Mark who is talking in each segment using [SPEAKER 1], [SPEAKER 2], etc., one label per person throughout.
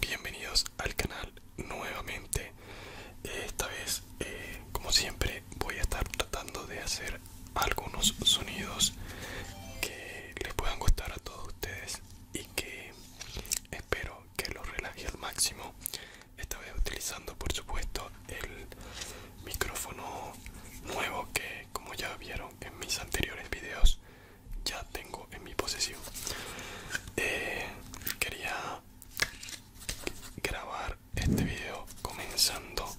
[SPEAKER 1] Bienvenidos al canal nuevamente. Esta vez, eh, como siempre, voy a estar tratando de hacer algunos sonidos que les puedan gustar a todos ustedes y que espero que los relaje al máximo esta vez utilizando por supuesto el micrófono nuevo que como ya vieron en mis anteriores videos ya tengo en mi posesión eh, quería grabar este video comenzando,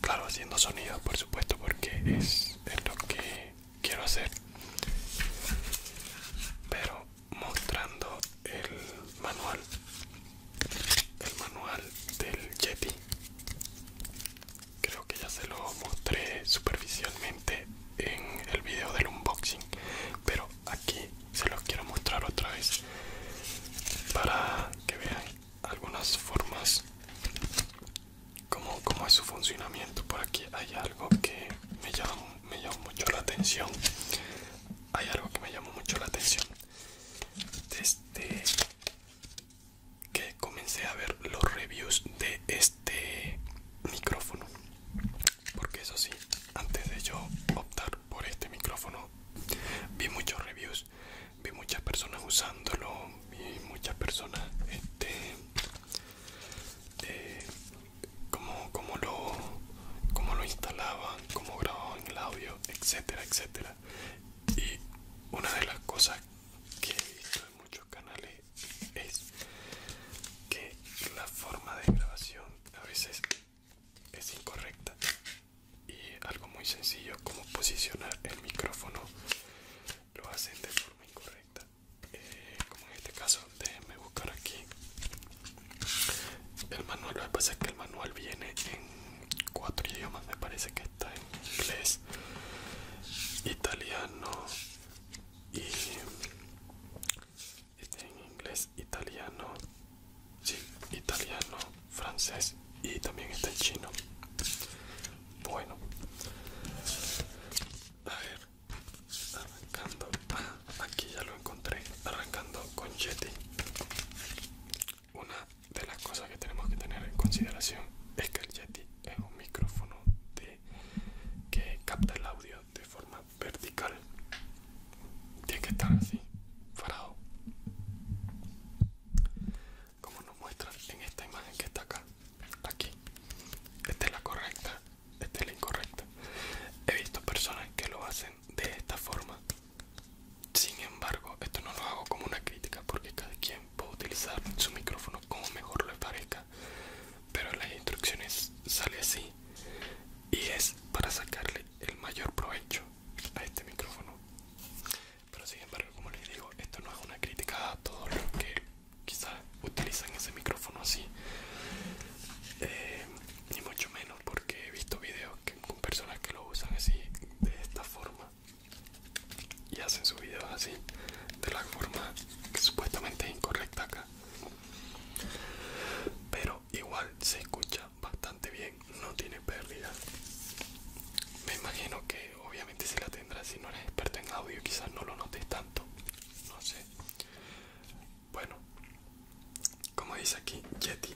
[SPEAKER 1] claro, haciendo sonidos por supuesto, porque es, lo que quiero hacer, pero mostrando el manual, el manual del Yeti. Creo que ya se lo mostré superficialmente en el video del unboxing, pero aquí se los quiero mostrar otra vez para que vean algunas formas como, es su funcionamiento por aquí hay algo que me llama me mucho la atención hay algo que me llamó mucho la atención desde que comencé a ver los reviews de este micrófono porque eso sí antes de yo optar por este micrófono vi muchos reviews vi muchas personas usándolo vi muchas personas este eh, como, lo como lo instalaban como grababan el audio etcétera etcétera y una de las cosas que he visto en muchos canales es que la forma de grabación a veces es incorrecta y algo muy sencillo como posicionar el micrófono lo hacen de forma incorrecta eh, como en este caso déjenme buscar aquí el manual lo que pasa es que el manual viene en cuatro idiomas me parece que está en inglés italiano y está en inglés, italiano, sí, italiano, francés y también está en chino. Bueno, a ver, arrancando, ah, aquí ya lo encontré, arrancando con Yeti. Una de las cosas que tenemos que tener en consideración es que el Yeti es un micrófono que capta el audio de forma vertical. Tiene que estar así, farado Como nos muestra en esta imagen que está acá. Aquí. Esta es la correcta. Esta es la incorrecta. He visto personas que lo hacen de esta forma. Sin embargo, esto no lo hago como una crítica porque cada quien puede utilizar su micrófono como mejor le parezca. Pero las instrucciones sale así y es para sacarle el mayor provecho a este micrófono pero sin embargo como les digo esto no es una crítica a todos los que quizás utilizan ese micrófono así eh, ni mucho menos porque he visto videos con personas que lo usan así de esta forma y hacen sus videos así de la forma que supuestamente es incorrecta acá pero igual se escucha bastante bien no tiene pérdida me imagino que obviamente se la tendrá si no eres experto en audio quizás no lo notes tanto no sé bueno como dice aquí Yeti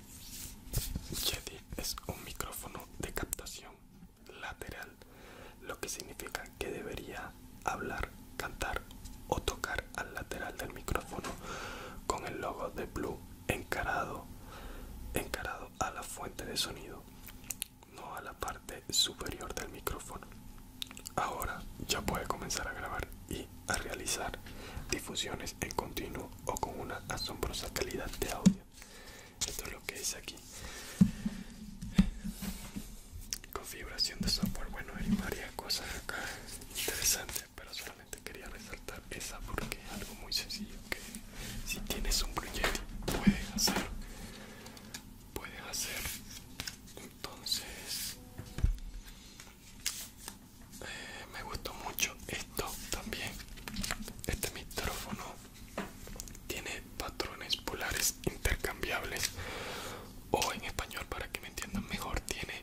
[SPEAKER 1] Yeti es un micrófono de captación lateral lo que significa que debería hablar cantar o tocar al lateral del micrófono con el logo de Blue encarado, encarado a la fuente de sonido, no a la parte superior del micrófono. Ahora ya puede comenzar a grabar y a realizar difusiones en continuo o con una asombrosa calidad de audio. Esto es lo que es aquí configuración de software bueno hay varias cosas acá interesantes pero solamente quería resaltar esa porque es algo muy sencillo que si tienes un proyecto puedes hacer puedes hacer entonces eh, me gustó mucho esto también este micrófono tiene patrones polares intercambiables o en español para que me entiendan mejor tiene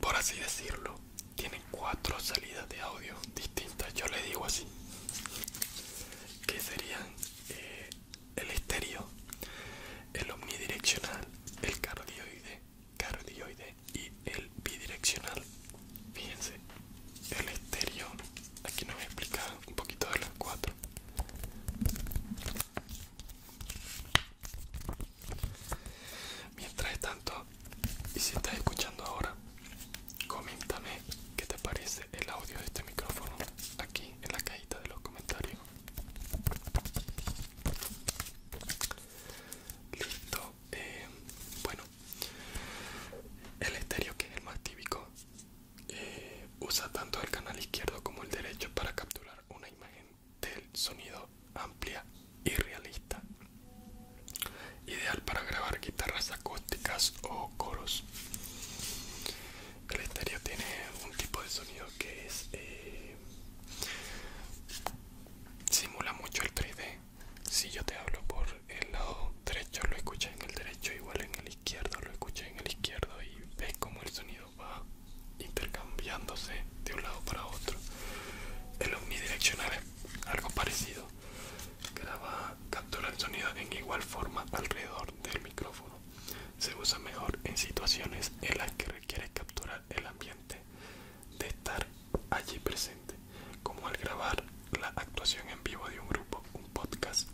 [SPEAKER 1] por así decirlo tiene cuatro salidas de audio distintas yo le digo así que serían eh, el estéreo el omnidireccional el cardioide cardioide y el bidireccional fíjense el estéreo aquí nos explica un poquito de las cuatro Mientras tanto, y si estás escuchando ahora, coméntame qué te parece el audio de este micrófono aquí en la cajita de los comentarios. Listo, eh, bueno, el estéreo que es el más típico eh, usa tanto el canal izquierdo como el derecho para capturar una imagen del sonido amplia y realista ideal para grabar guitarras acústicas o coros el estéreo tiene un tipo de sonido que es eh, simula mucho el 3D si yo te hablo por el lado derecho lo escuchas en el derecho igual en el izquierdo lo escuchas en el izquierdo y ves como el sonido va intercambiándose de un lado para otro. El omnidireccional es algo parecido. Graba, captura el sonido en igual forma alrededor del micrófono. Se usa mejor en situaciones en las que requiere capturar el ambiente de estar allí presente, como al grabar la actuación en vivo de un grupo, un podcast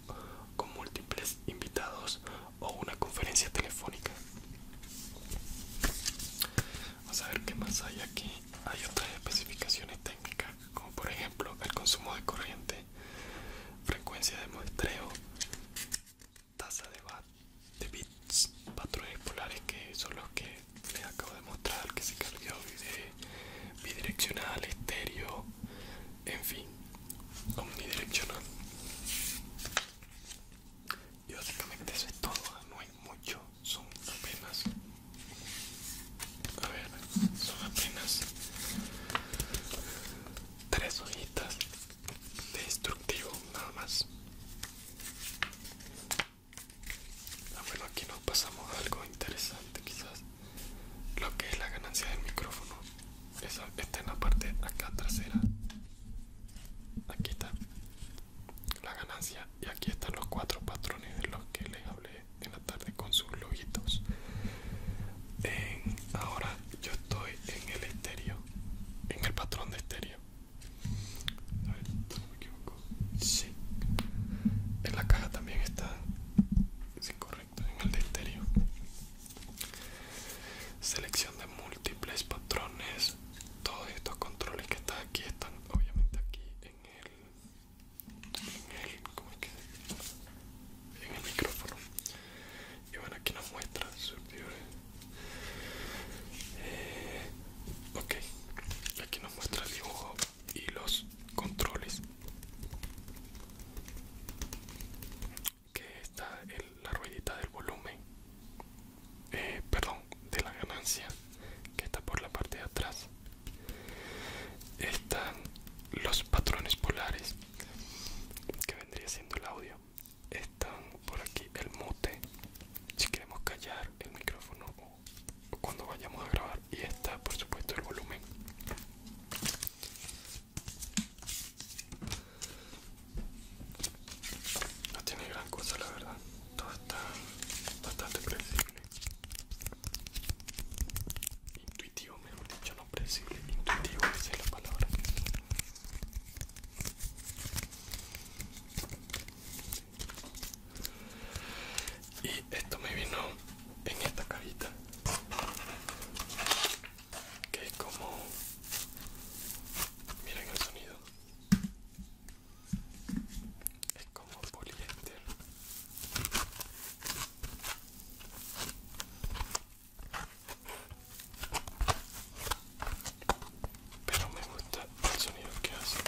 [SPEAKER 1] con múltiples invitados o una conferencia telefónica. Vamos a ver qué más hay aquí. Hay otras especificaciones técnicas, como por ejemplo el consumo de corriente, frecuencia de muestreo, tasa de, bits, patrones polares que son los que les acabo de mostrar, que se cambió bidireccional, estéreo, en fin, omnidireccional y básicamente eso es todo no hay mucho son apenas a ver son apenas tres hojitas de instructivo nada más ah, bueno aquí nos pasamos algo interesante quizás lo que es la ganancia del micrófono está en la parte acá trasera aquí está la ganancia y aquí están los cuatro patrones de los que les hablé en la tarde con sus logitos. ahora yo estoy en el estéreo en el patrón de estéreo a ver, no me equivoco sí en la caja también está sin en el de Selección de múltiples patrones. Todos estos controles que están aquí están obviamente aquí en el, micrófono. Y bueno, aquí nos muestra eh, ok, aquí nos muestra el dibujo y los controles que está la ruedita del volumen eh, perdón de la ganancia que está por la parte de atrás están los patrones polares que vendría siendo el audio están por aquí el mute si queremos callar el micrófono o cuando vayamos a grabar y está por supuesto el volumen no tiene gran cosa la verdad todo está bastante precible intuitivo mejor dicho no predecible intuitivo dice es la palabra y esto me vino en esta carita que es como miren el sonido es como poliéster pero me gusta el sonido que hace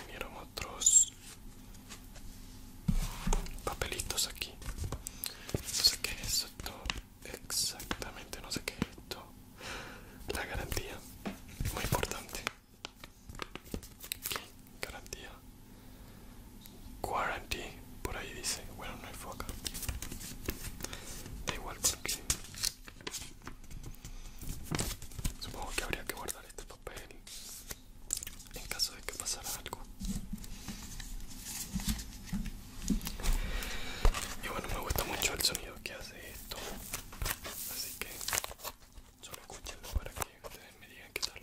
[SPEAKER 1] vinieron otros papelitos aquí no sé qué es esto exactamente no sé qué es esto la garantía muy importante garantía Guarantee, por ahí dice, bueno no foca da igual aquí supongo que habría que guardar esto en caso de que pasara algo. Y bueno, me gusta mucho el sonido que hace esto, así que solo escúchenlo para que ustedes me digan qué tal.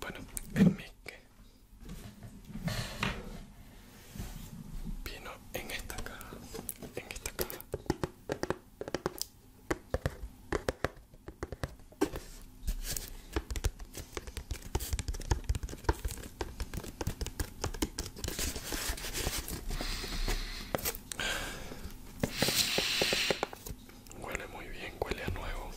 [SPEAKER 1] Bueno, mi que vino en esta caja, en esta caja. Huele muy bien, huele a nuevo.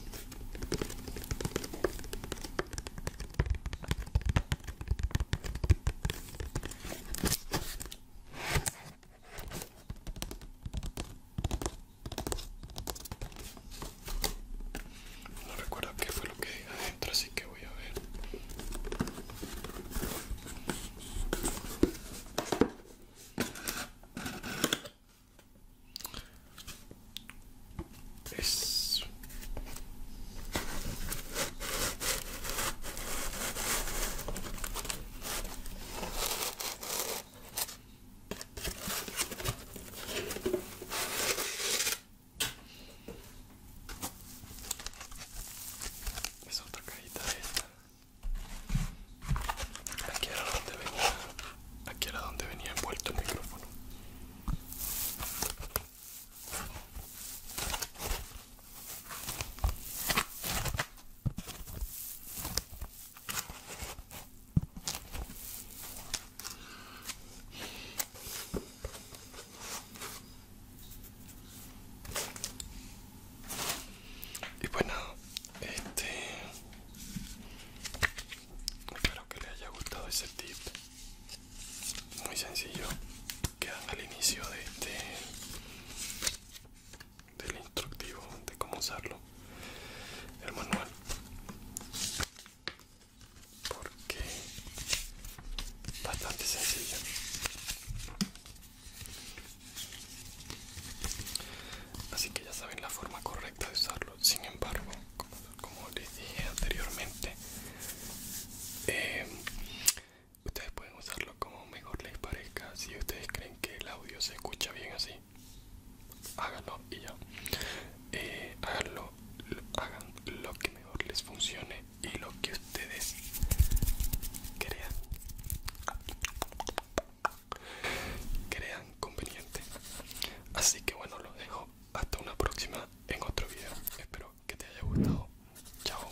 [SPEAKER 1] No recuerdo qué fue lo que dije entonces, sí que voy a ver. Es... Es otra cajita de esta. Aquí era donde venía. Aquí era donde venía envuelto el micrófono. Y bueno, pues este espero que le haya gustado ese tip muy sencillo que dan al inicio de este del instructivo de cómo usarlo el manual porque bastante sencillo así que ya saben la forma correcta de usarlo sin embargo como, les dije anteriormente eh, ustedes pueden usarlo como mejor les parezca si ustedes creen que el audio se escucha bien así háganlo y ya eh, lo, hagan lo que mejor les funcione y lo que ustedes crean crean conveniente así que bueno lo dejo hasta una próxima en otro video espero que te haya gustado chao